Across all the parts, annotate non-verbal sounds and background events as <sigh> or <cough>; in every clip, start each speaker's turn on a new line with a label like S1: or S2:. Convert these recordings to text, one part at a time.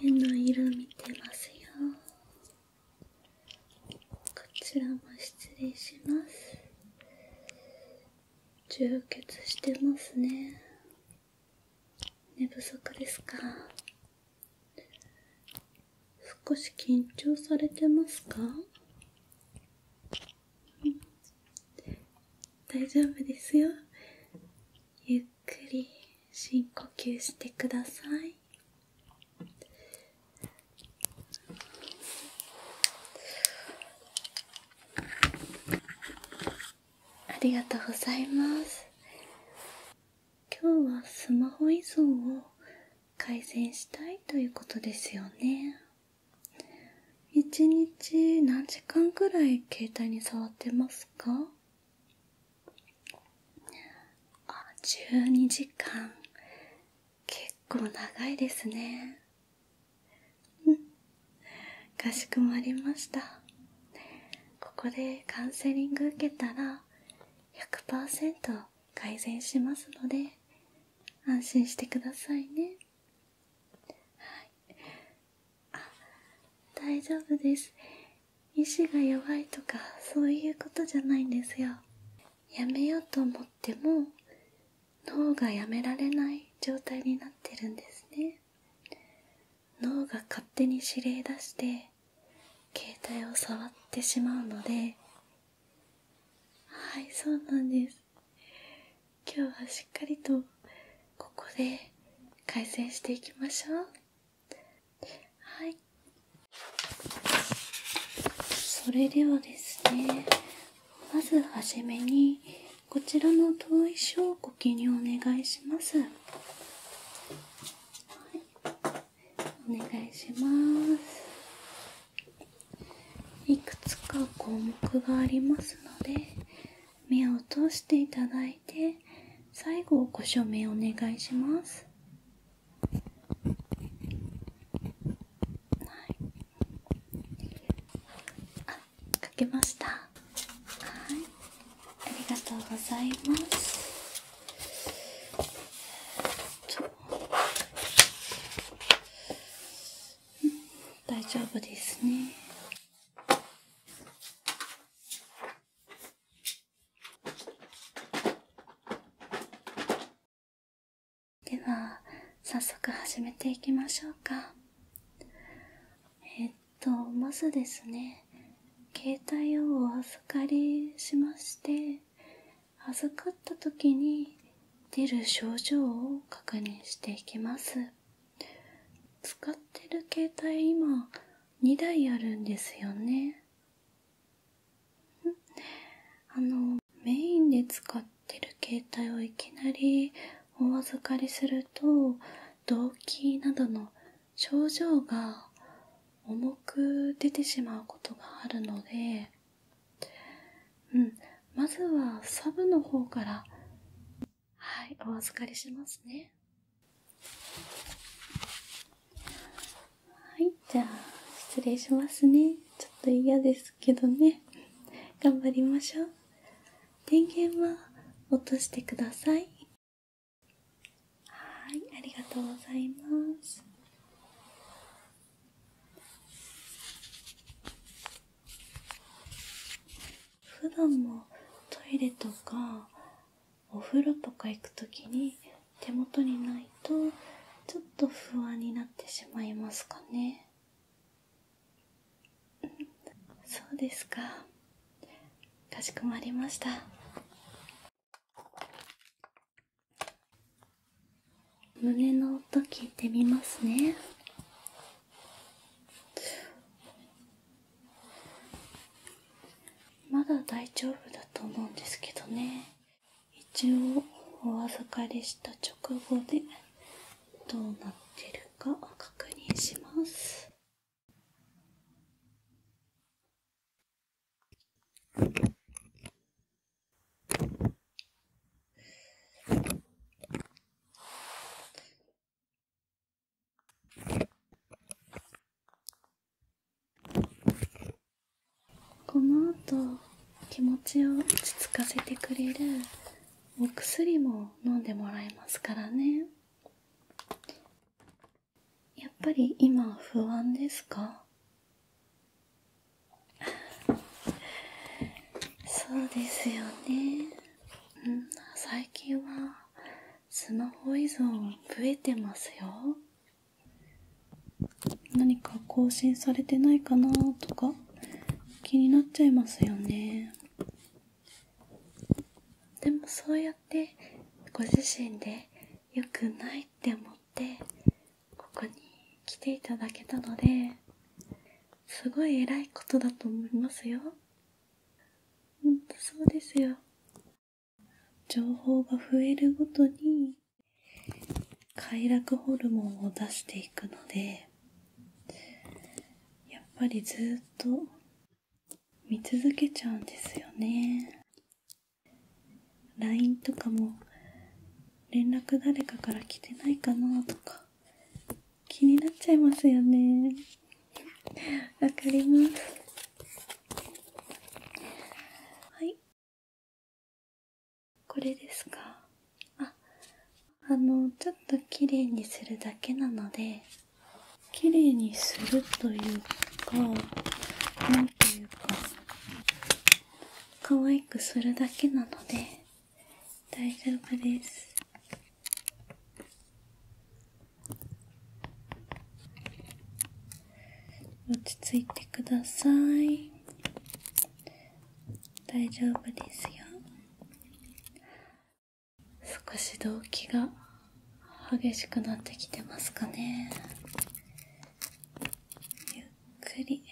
S1: 目の色見てますよこちらも失礼します充血してますね寝不足ですか少し緊張されてますか、う大丈夫ですよゆっくり深呼吸してくださいありがとうございます今日はスマホ依存を改善したいということですよね一日何時間くらい携帯に触ってますか12時間結構長いですねうんかしこまりましたここでカウンセリング受けたら100%改善しますので安心してくださいねはいあ大丈夫です意志が弱いとかそういうことじゃないんですよやめようと思っても脳がやめられない状態になってるんですね脳が勝手に指令出して携帯を触ってしまうのではいそうなんです今日はしっかりとここで改善していきましょうはいそれではですねまずはじめにこちらの遠い書をご記入お願いしますお願いしますいくつか項目がありますので目を通していただいて最後ご署名お願いしますはいあ書けましたはいありがとうございます大丈夫ですね。では、早速始めていきましょうか。えっと、まずですね、携帯をお預かりしまして、預かった時に出る症状を確認していきます使ってる携帯今2台あるんですよねあのメインで使ってる携帯をいきなりお預かりすると動悸などの症状が重く出てしまうことがあるのでうんまずはサブの方からはいお預かりしますねはいじゃあ失礼しますねちょっと嫌ですけどね頑張りましょう電源は落としてくださいはいありがとうございます普段もトイレとかお風呂とか行く時に手元にないとちょっと不安になってしまいますかねうんそうですかかしこまりました胸の音聞いてみますねまだ大丈夫だと思うんですけどね一応お預かりした直後でどうなってるか確認しますこの後気持ちを落ち着かせてくれるお薬も飲んでもらえますからねやっぱり今不安ですかそうですよね。うん、最近はスマホ依存増えてますよ。何か更新されてないかなとか気になっちゃいますよね。でもそうやってご自身で良くないって思ってここに来ていただけたのですごい偉いことだと思いますよほんそうですよ情報が増えるごとに快楽ホルモンを出していくのでやっぱりずっと見続けちゃうんですよね LINE とかも連絡誰かから来てないかなとか気になっちゃいますよね <laughs> わかりますはいこれですかああのちょっと綺麗にするだけなので綺麗にするというか何というか可愛くするだけなので大丈夫です落ち着いてください大丈夫ですよ少し動悸が激しくなってきてますかねゆっくり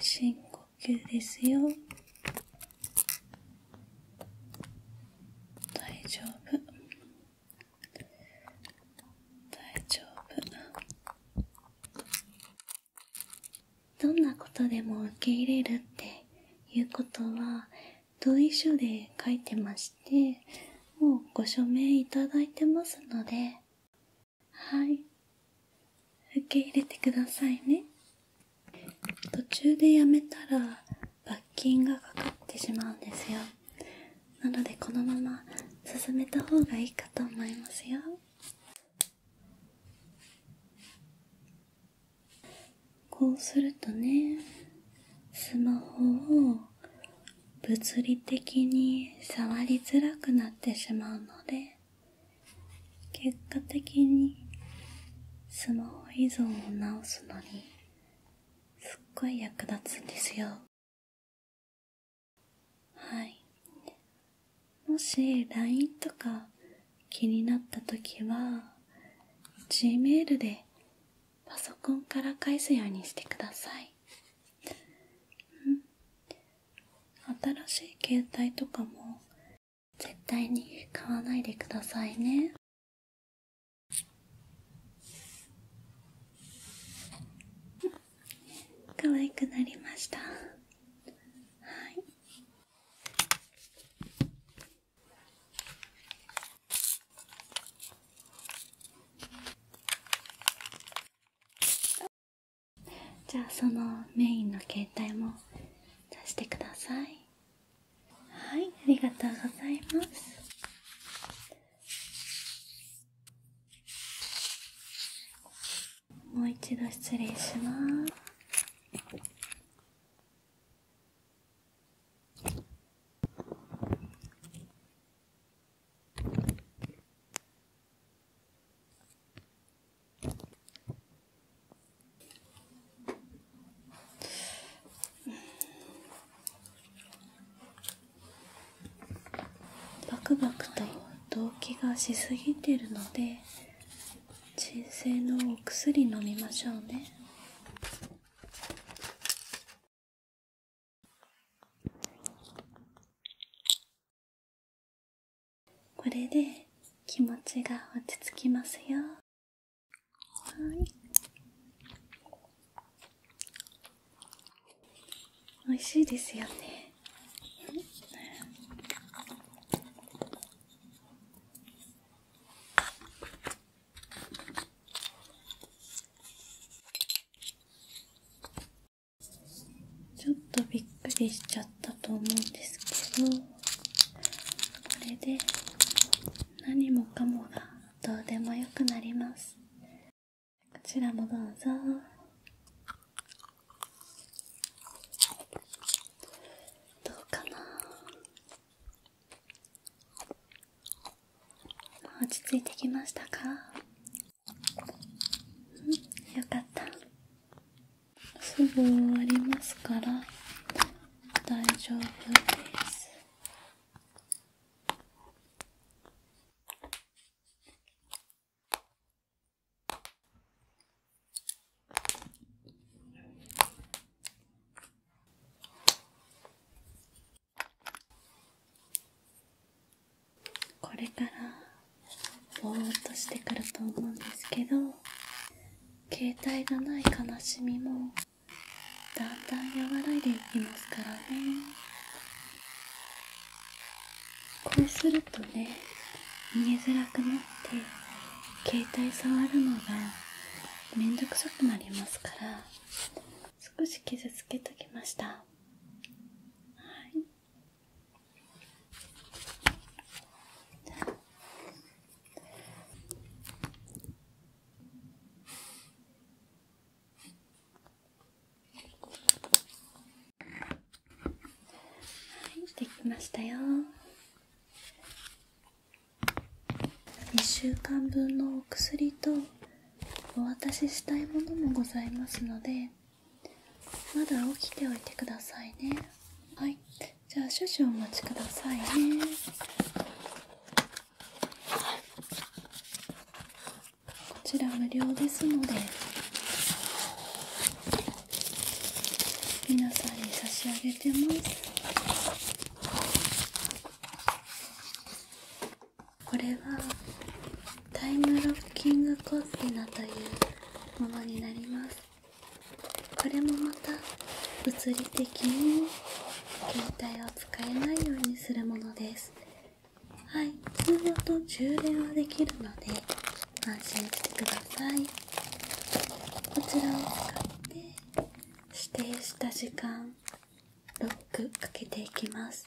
S1: 深呼吸ですよ大丈夫大丈夫どんなことでも受け入れるっていうことは同意書で書いてましてもうご署名いただいてますのではい受け入れてくださいね途中でやめたら罰金がかかってしまうんですよなのでこのまま進めた方がいいかと思いますよこうするとねスマホを物理的に触りづらくなってしまうので結果的にスマホ依存を直すのにすっごい役立つんですよはいもし LINE とか気になった時は Gmail でパソコンから返すようにしてください、新しい携帯とかも絶対に買わないでくださいね可愛くなりましたはいじゃあそのメインの携帯も出してくださいはいありがとうございますもう一度失礼しますバクバクと動悸がしすぎてるので鎮静のお薬飲みましょうねこれで気持ちが落ち着きますよはい美味しいですよねちょっとびっくりしちゃったと思うんですけどこれで何もかもがどうでもよくなりますこちらもどうぞどうかな落ち着いてきましたかうん、よかったすぐ終わりますから大丈夫ですこれからぼーっとしてくると思うんですけど携帯がない悲しみもだんだん和らいでいきますからねこうするとね見えづらくなって携帯触るのがめんどくさくなりますから少し傷つけときましたはいはい、できましたよ1週間分のお薬とお渡ししたいものもございますのでまだ起きておいてくださいねはいじゃあ少々お待ちくださいねこちら無料ですので皆さんに差し上げてますこれはタイムロッキングコッテナというものになりますこれもまた物理的に携帯を使えないようにするものですはい通常と充電はできるので安心してくださいこちらを使って指定した時間ロックかけていきます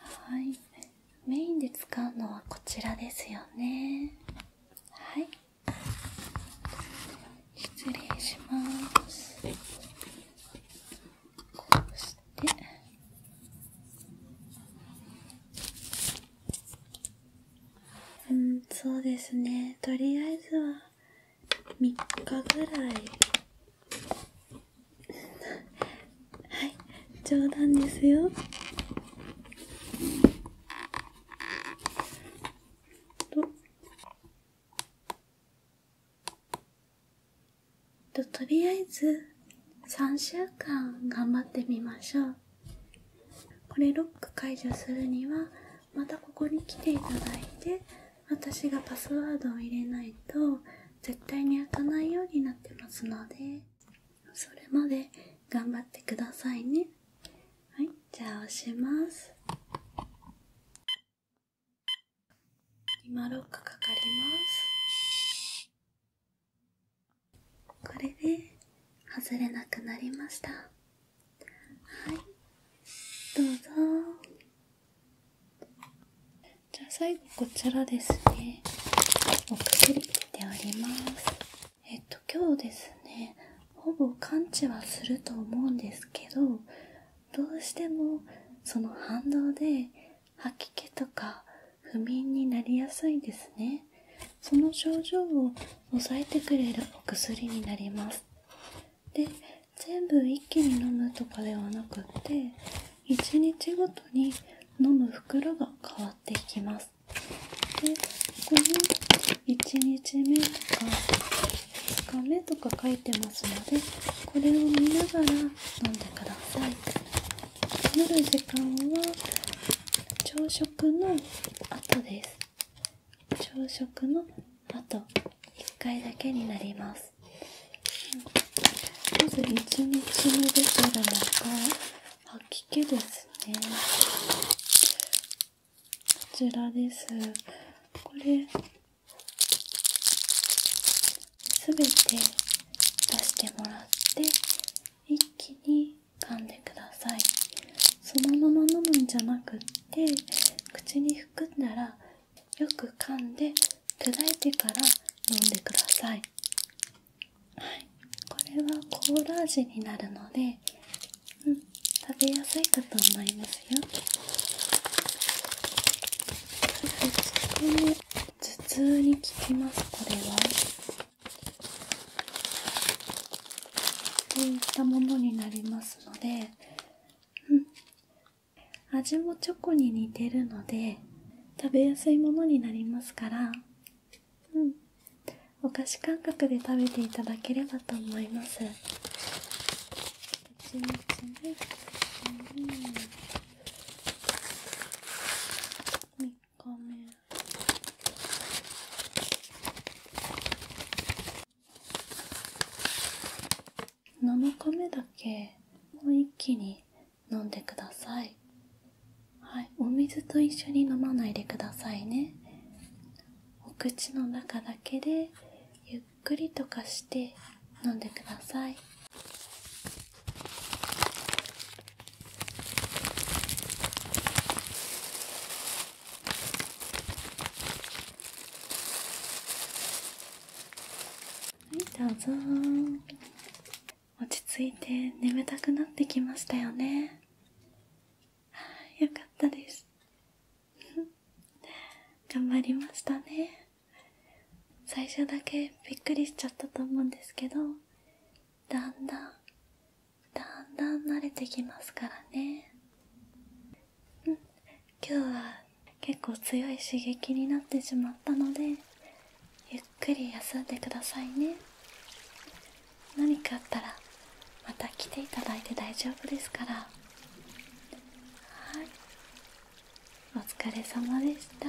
S1: はいメインで使うのはこちらですよねはい失礼しますこうしてうんそうですねとりあえずは3日ぐらいはい冗談ですよととりあえず3週間頑張ってみましょうこれロック解除するにはまたここに来ていただいて私がパスワードを入れないと絶対に開かないようになってますのでそれまで頑張ってくださいねはいじゃあ押します今ロックかかりますこれで外れなくなりましたはいどうぞじゃあ最後こちらですねお薬ておりますえっと今日ですねほぼ完治はすると思うんですけどどうしてもその反動で吐き気とか不眠になりやすいですねその症状を抑えてくれるお薬になりますで全部一気に飲むとかではなくって1日ごとに飲む袋が変わっていきますでここに1日目とか2日目とか書いてますのでこれを見ながら飲んでください飲む時間は朝食の後です朝食の後1回だけになりますまず1日目出てるのが吐き気ですねこちらですこれすて出してもらって一気に噛んでくださいそのまま飲むんじゃなくって口に含んだらよく噛んで砕いてから飲んでください、これはコーラ味になるので、う食べやすいかと思いますよそして頭痛に効きますこれはこういったものになりますので、味もチョコに似てるので食べやすいものになりますから、うん、お菓子感覚で食べて頂ければと思います。蜂蜜ね、うん、3日目7日目だけもう一気に飲んでくださいはいお水と一緒に飲まないでくださいねお口の中だけでゆっくりとかして飲んでくださいはい、どうぞ落ち着いて眠たくなってきましたよね <laughs> よかったです <laughs> 頑張りましたね最初だけびっくりしちゃったと思うんですけどだんだんだんだん慣れてきますからね今日は結構強い刺激になってしまったのでゆっくり休んでくださいね何かあったらまた来ていただいて大丈夫ですからはいお疲れ様でした